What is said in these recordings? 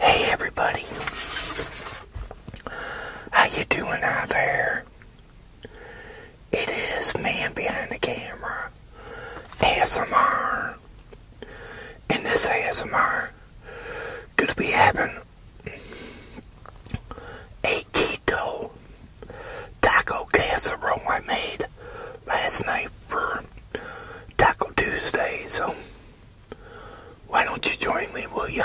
Hey everybody. How you doing out there? It is man behind the camera. ASMR. And this ASMR gonna be having a keto taco casserole I made last night for Taco Tuesday, so why don't you join me, will you?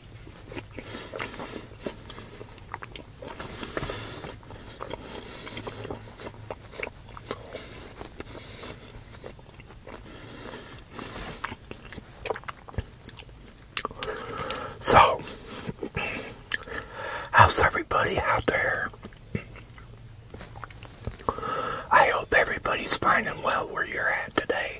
So, how's everybody out there? I hope everybody's finding well where you're at today.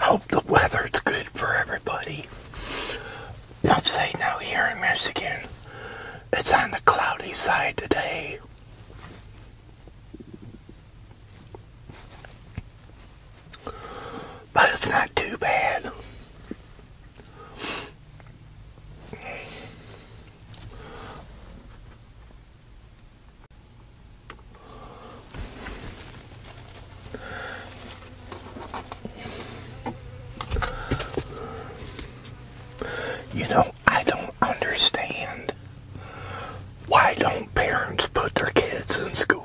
Hope the weather's good for everybody. Let's say no here in Michigan, it's on the cloudy side today. But it's not too bad. You know, I don't understand why don't parents put their kids in school?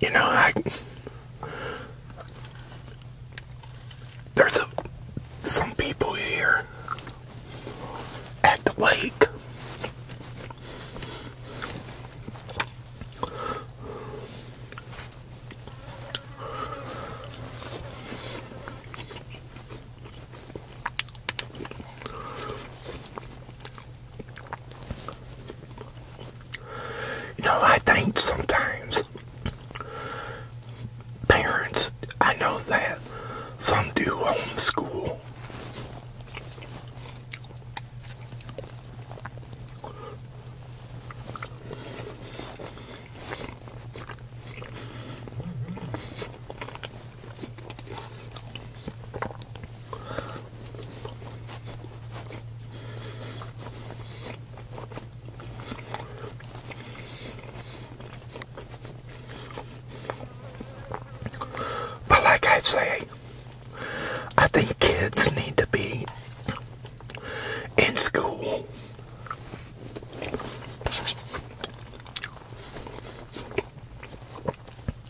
you know, I there's a, some people here at the lake. You know, I think sometimes parents, I know that some do homeschool. But like I say, I think kids need to be in school.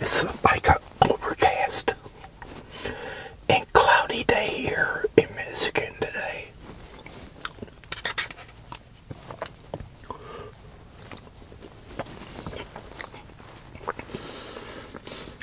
It's like an overcast and cloudy day here in Michigan today.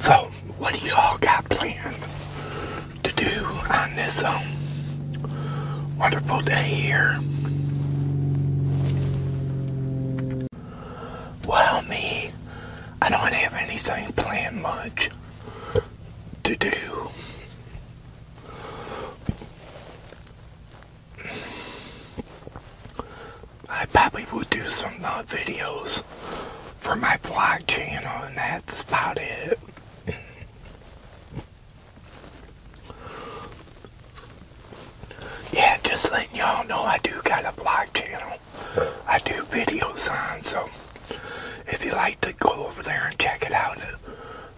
So, what do y'all got planned to do on this um, wonderful day here? Well, me, I don't have anything planned much to do. I probably will do some uh, videos for my blog channel, and that's about it. yeah, just letting y'all know I do got a blog channel. I do videos on, so if you like to go over there and check it out,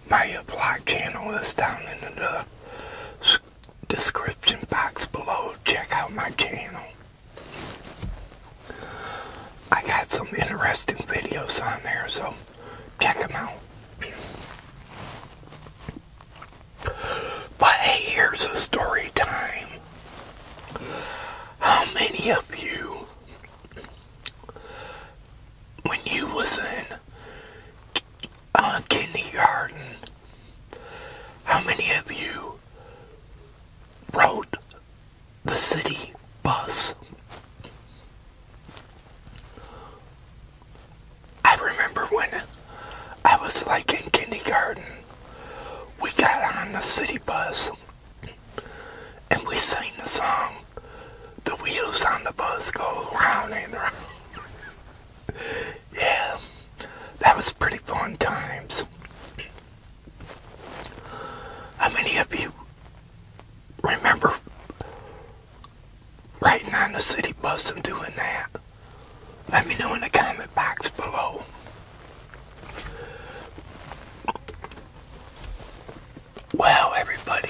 my blog channel is down in the description box below. Check out my channel. I got some interesting videos on there, so check them out. But here's a story time. How many of you, when you was in uh, kindergarten, how many of you rode the city bus? I remember when I was like in kindergarten, we got on the city bus and we sang the song, The Wheels on the Bus Go Round and Round yeah, that was pretty fun times. How many of you remember riding on the city bus and doing that? Let me know in the comment box below. Wow, everybody,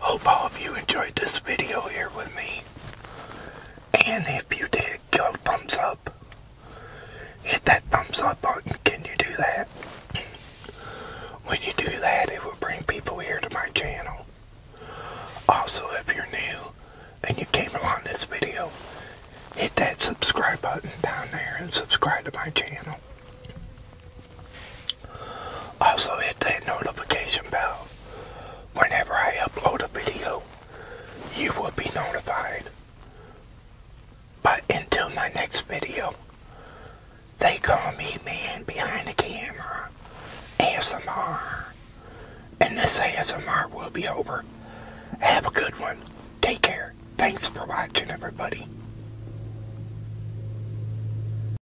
Hope all of you enjoyed this video here with me. And if you did, give a thumbs up. Hit that thumbs up button. Can you do that? When you do that, it will bring people here to my channel. Also, if you're new and you came along this video, hit that subscribe button down there and subscribe to my channel. Also hit that notification bell. Whenever I upload a video, you will be notified. But until my next video, they call me man behind the camera, ASMR. And this ASMR will be over. Have a good one. Take care. Thanks for watching, everybody.